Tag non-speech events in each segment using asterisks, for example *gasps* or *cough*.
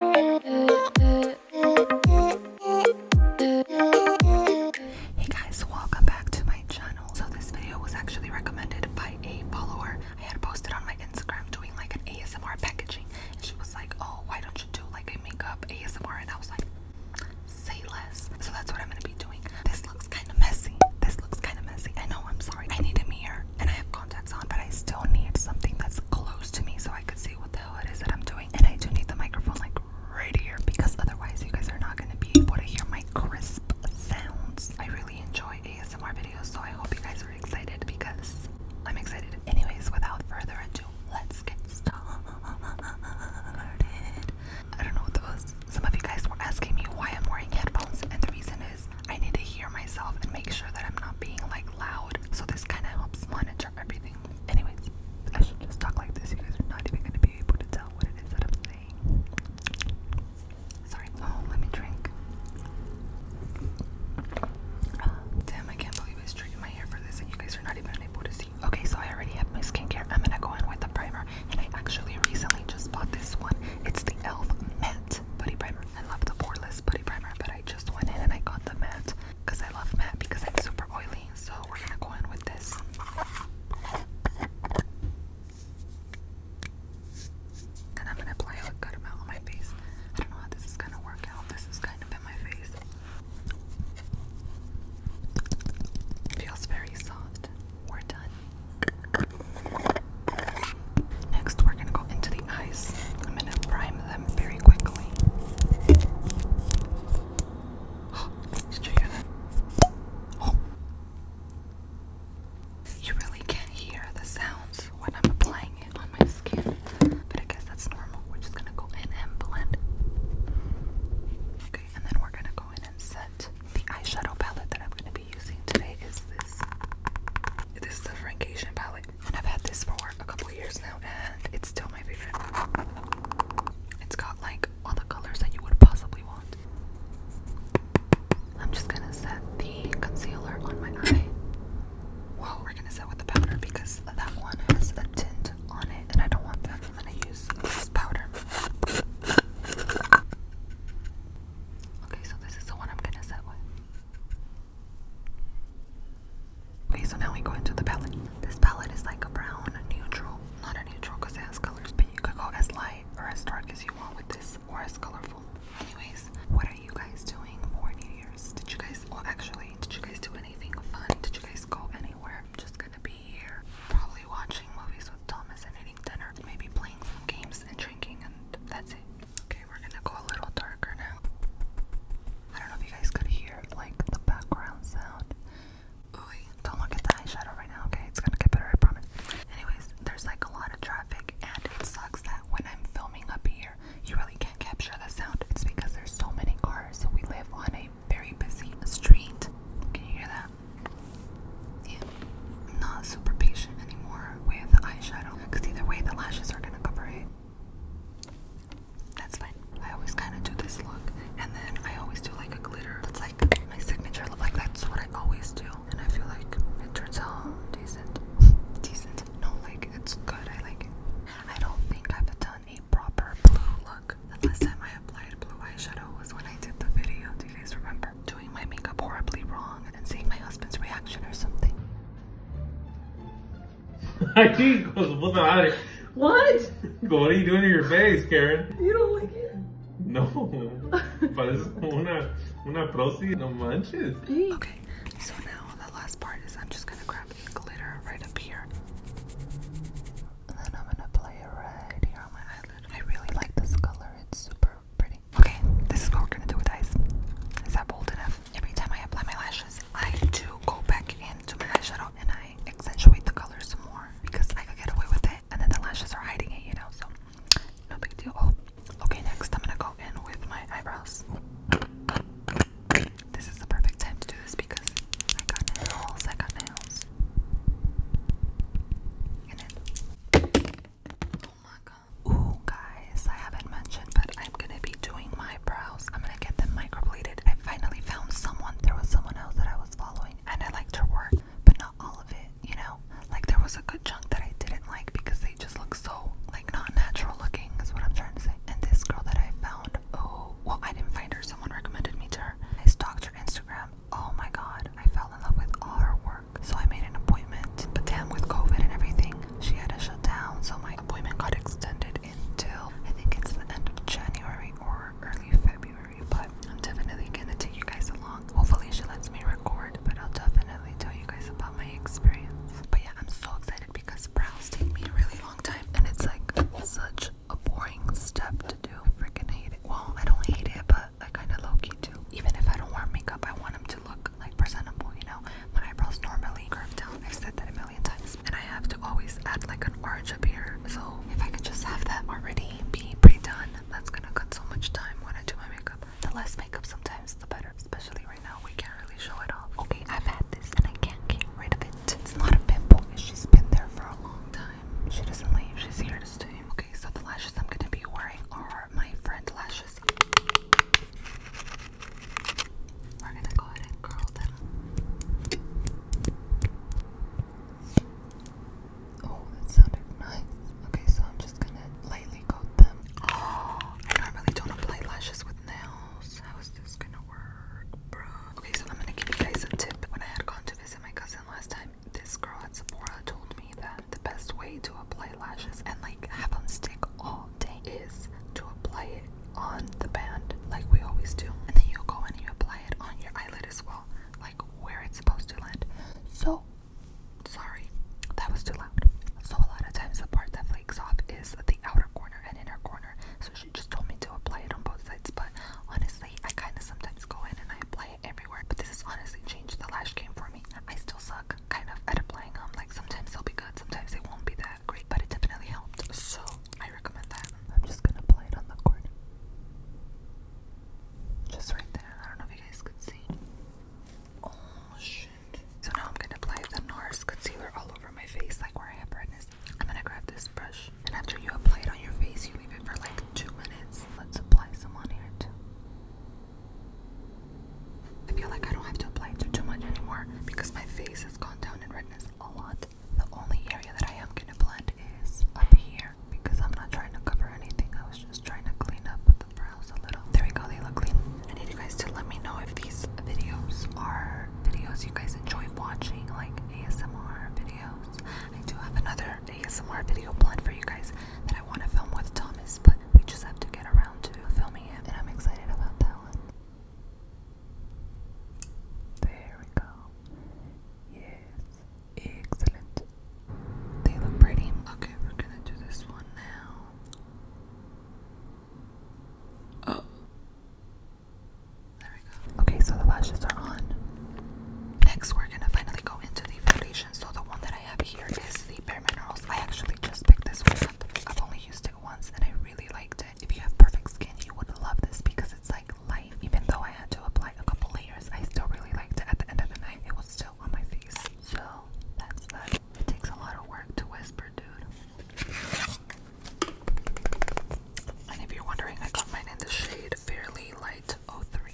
Hey guys, welcome back to my channel. So this video was actually recommended by a follower. I had posted on my Instagram doing like an ASMR packaging and she was like, oh, why don't you do like a makeup ASMR? And I was like, say less. So that's what I'm gonna be doing. This looks kind of messy. This looks kind of messy. I know, I'm sorry. I need a mirror and I have contacts on, but I still need something that's close to me so I could see what the hell it is that I'm doing. And I do need the microphone like right here because otherwise you guys are not going to be able to hear my crisp sounds. I really enjoy ASMR videos, so I hope you guys are excited because I'm excited. Anyways, without further ado, let's get started. I don't know what that was. Some of you guys were asking me why I'm wearing headphones, and the reason is I need to hear myself and make sure that I'm not being like loud so this kind of helps monitor everything. Anyways, I should just talk like this. You guys are not even gonna be able to tell what it is that I'm saying. Sorry. Oh, let me drink. Ah, damn, I can't believe I straightened my hair for this, and you guys are not even able to see. Okay, so I already have my skincare. I'm gonna go in with the primer, and I actually recently just bought this one. It's the e.l.f. Matte Putty Primer. I love the poreless putty primer. I just went in and I got the matte because I love matte because I'm super oily. So we're gonna go in with this. And I'm gonna apply a good amount on my face. I don't know how this is gonna work out. This is kind of in my face. Feels very soft. We're done. Next, we're gonna go into the eyes. I'm gonna prime them very quickly. Oh, did you hear Oh. You really can't hear the sounds when I'm applying it on my skin, but I guess that's normal. We're just gonna go in and blend. Okay, and then we're gonna go in and set the eyeshadow palette that I'm gonna be using today. Is this? This is the Frank Asian palette and I've had this for a couple years now, and it's still my favorite. It's got like all the colors that you would possibly want. I'm just gonna set the concealer on my eye. Well, we're gonna set with the powder because that one has a tint on it, and I don't want that. I'm gonna use this powder. Okay, so this is the one I'm gonna set with. Okay, so now we go into the palette. This palette is like a brown, neutral, not a neutral because it has colors, but you could go as light or as dark as you want with this or as colorful. Anyways, what are you guys doing for New Year's? Did you guys, well actually, did you guys do anything fun? Did you guys go anywhere? I'm just gonna be here, probably watching movies with Thomas and eating dinner, maybe playing some games and drinking and that's it. Okay, we're gonna go a little darker now. I don't know if you guys could hear like the background sound. Ooh, don't look at the eyeshadow right now, okay? It's gonna get better, I promise. Anyways, there's like a lot of traffic, and it sucks that when I'm filming up here, you really can't capture the sound. It's because there's so many cars. So we live on a very busy street. Can you hear that? Yeah. not super patient anymore with eyeshadow because either way the lashes are gonna cover it. That's fine. I always kind of do this look and then I always do like a glitter. That's like my signature look. Like that's what I always do and I feel like it turns out decent. decent. No, like it's good. I like I don't think I've done a proper blue look. The last time I applied blue eyeshadow was when I did the video. Do you guys remember? Doing my makeup horribly wrong and seeing my husband's reaction or something. I *laughs* think what *laughs* What? are you doing to your face, Karen? You don't like it? No. Parece una, una prosi, no manches. Okay, so now the last part is I'm just gonna grab the glitter right up here. And then I'm gonna play it right here on my eyelid. I really like this color, it's super pretty. Okay, this is what we're gonna do with eyes. Is that bold enough? Every time I apply my lashes, I do go back into my eyeshadow and I accentuate the colors some more because I could get away with it, and then the lashes are hiding it, you know. So no big deal. Oh, okay. Next, I'm gonna go in with my eyebrows. This is the perfect time to do this because I got nails. I got nails. Oh my god. Ooh, guys, I haven't mentioned, but I'm gonna be doing my brows. I'm gonna get them microbladed. I finally found someone. There was someone else that I was following, and I liked her work, but not all of it, you know? Like, there was a good chunk that I didn't like because they just look so, like, not natural looking, is what I'm trying to say. And this girl that I found, oh, well, I didn't find her. Someone recommended me to her. I stalked her Instagram. Oh my god, I fell in love with all her work. So I made an appointment, but damn, with COVID and everything, she had to shut down. So my appointment got extended until I think it's the end of January or early February. But I'm definitely gonna take you guys along. Hopefully, she lets me record, but I'll definitely tell you guys about my experience. But yeah, I'm so excited because brows take me a really long time, and it's like such a boring step to do. freaking hate it. Well, I don't hate it, but I kind of low do. Even if I don't wear makeup, I want them to to look like presentable, you know? My eyebrows normally curve down. I've said that a million times. And I have to always add like an arch up here. So if I can just have that already be pre-done, that's gonna cut so much time when I do my makeup. The less makeup sometimes the better. Especially right now, we can't really show it off. Okay, I've had this and I can't get rid of it. It's not a pimple, she's been there for a long time. She doesn't leave, she's here to stay. Okay, so the lashes I'm gonna be wearing are my friend lashes brushes. We're going to go ahead and curl them. Oh, that sounded nice. Okay, so I'm just going to lightly coat them. Oh, *gasps* I normally don't apply lashes with nails. How is this going to work, bro? Okay, so I'm going to give you guys a tip. When I had gone to visit my cousin last time, this girl at Sephora told me that the best way to apply lashes and like have them stick all day is to apply it on the band like we always do. And then you go and you apply it on your eyelid as well, like where it's supposed to land. So, sorry, that was too loud. So a lot of times the part that flakes off is the outer corner and inner corner. So she just told me to apply it on both sides, but honestly, I kind of sometimes go in and I apply it everywhere. But this has honestly changed the lash game for me. I still suck kind of at applying them. Like sometimes they'll be good, sometimes they won't be that great, but it definitely helped. So I recommend that. I'm just gonna apply it on the corner. Just right there. I don't know if you guys could see. Oh shit. So now I'm gonna apply the NARS concealer all over my face, like where I have redness. I'm going grab this brush, and after you apply it on your face, you leave it for like two minutes. Let's apply some on here too. I feel like I don't have to apply too much anymore because my face has gone down in redness a lot. The only area that I am gonna blend is up here because I'm not trying to cover anything. I was just trying to clean up the brows a little. There we go, they look clean. I need you guys to let me know if these videos are videos you guys enjoy watching, like ASMR videos. I do have another ASMR video planned for you guys that I want to film with Thomas, but we just have to get around to filming it, and I'm excited about that one. There we go. Yes, excellent. They look pretty. Okay, we're gonna do this one now. Oh. There we go. Okay, so the lashes are on. Next, we're gonna finally go into the foundation. So the one that I have here is the Bare Minerals. I actually just picked this one up. I've only used it once and I really liked it. If you have perfect skin, you would love this because it's like light. Even though I had to apply a couple layers, I still really liked it. At the end of the night, it was still on my face. So that's that. It takes a lot of work to whisper, dude. And if you're wondering, I got mine in the shade Fairly Light 03.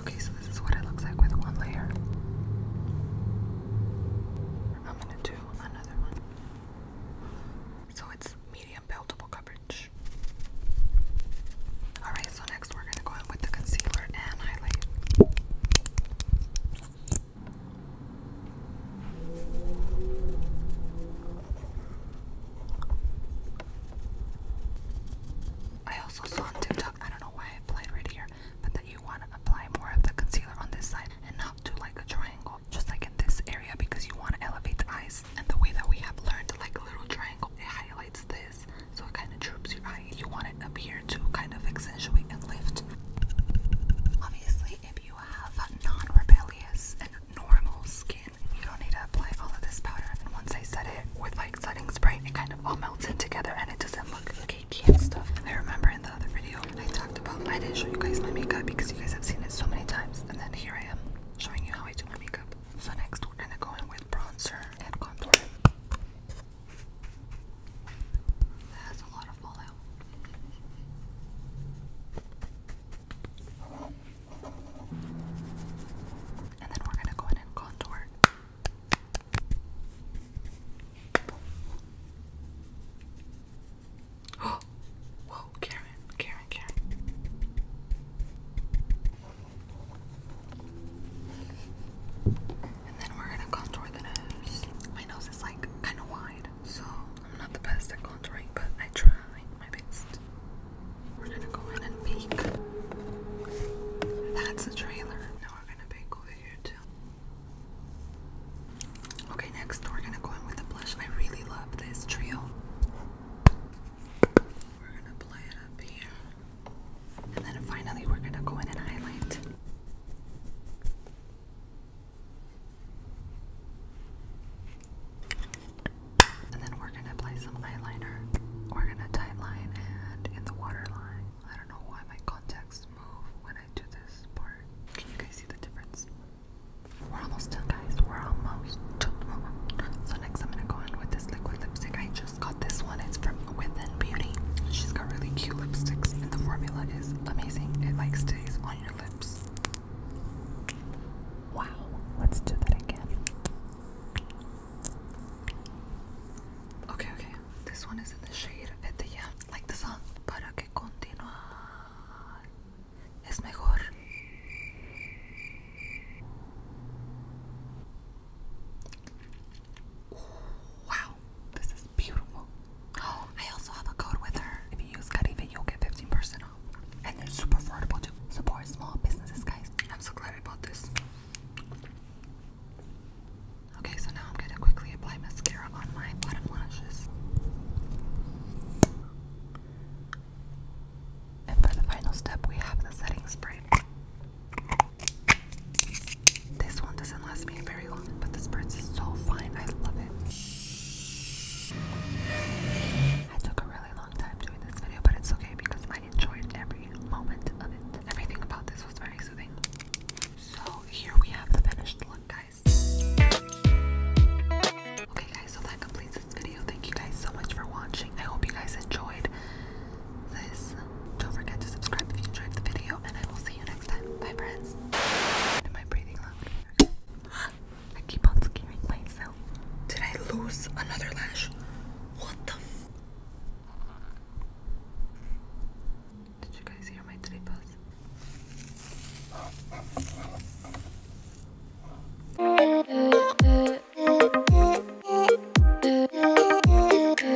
Okay, so this is what it looks like with one layer. I'm gonna do another one. So it's medium buildable coverage. Alright, so next we're gonna go in with the concealer and highlight. I also saw on TikTok, I don't know why I played right here, but that you want to apply more of the concealer on this side and not do like a triangle, just like in this area because you want to elevate the eyes. And the way that we have learned, like a little triangle, it highlights this, so it kind of droops your eye. You want it up here to kind of accentuate and lift. Obviously, if you have non-rebellious and normal skin, you don't need to apply all of this powder. And once I set it with like setting spray, it kind of all melts in together and it doesn't look cakey and stuff. I remember in the other video I talked about I didn't show you guys my makeup because you guys have seen it so many times, and then here I am showing you how I do my makeup. So next we're gonna go in with bronzer and contour. That's a lot of fallout. And then we're going to go ahead and contour. Oh, *gasps* whoa, Karen, Karen, Karen. And then we're gonna contour the nose. My nose is like kind of wide, so I'm not the best at contouring, but I try my best. We're gonna go in and bake. That's a trailer. Now we're gonna bake over here too. Okay, next we're gonna go in with the blush. I really love this trio. We're gonna play it up here. And then finally, we're gonna go in and highlight. And then we're gonna apply some eyeliner. We're gonna tightline and in the waterline. I don't know why my contacts move when I do this part. Can you guys see the difference? We're almost done, guys. We're almost done. So next, I'm gonna go in with this liquid lipstick. I just got this one. It's from within beauty. She's got really cute lipsticks and the formula is amazing. It like stays on your lips. Wow, let's do that again. Okay, okay. This one is in the shade of the the sun. Para que continuar es mejor. wow, this is beautiful. *gasps* I also have a code with her. If you use Caribe, you'll get 15% off. And they're super affordable to support small businesses, guys. I'm so glad I bought this. Okay, so now I'm gonna quickly apply mascara on my bottom lashes. And for the final step, we have the setting spray. This one doesn't last me very long, but this spritz is so fine. I love it. I took a really long time doing this video, but it's okay because I enjoyed every moment of it. Everything about this was very soothing. So here we have the finished look, guys. Okay guys, so that completes this video. Thank you guys so much for watching. I hope you guys enjoyed. Don't forget to subscribe if you enjoyed the video, and I will see you next time. Bye, friends. Am I breathing loud? I keep on scaring myself. Did I lose another lash? What the Did you guys hear my tripas?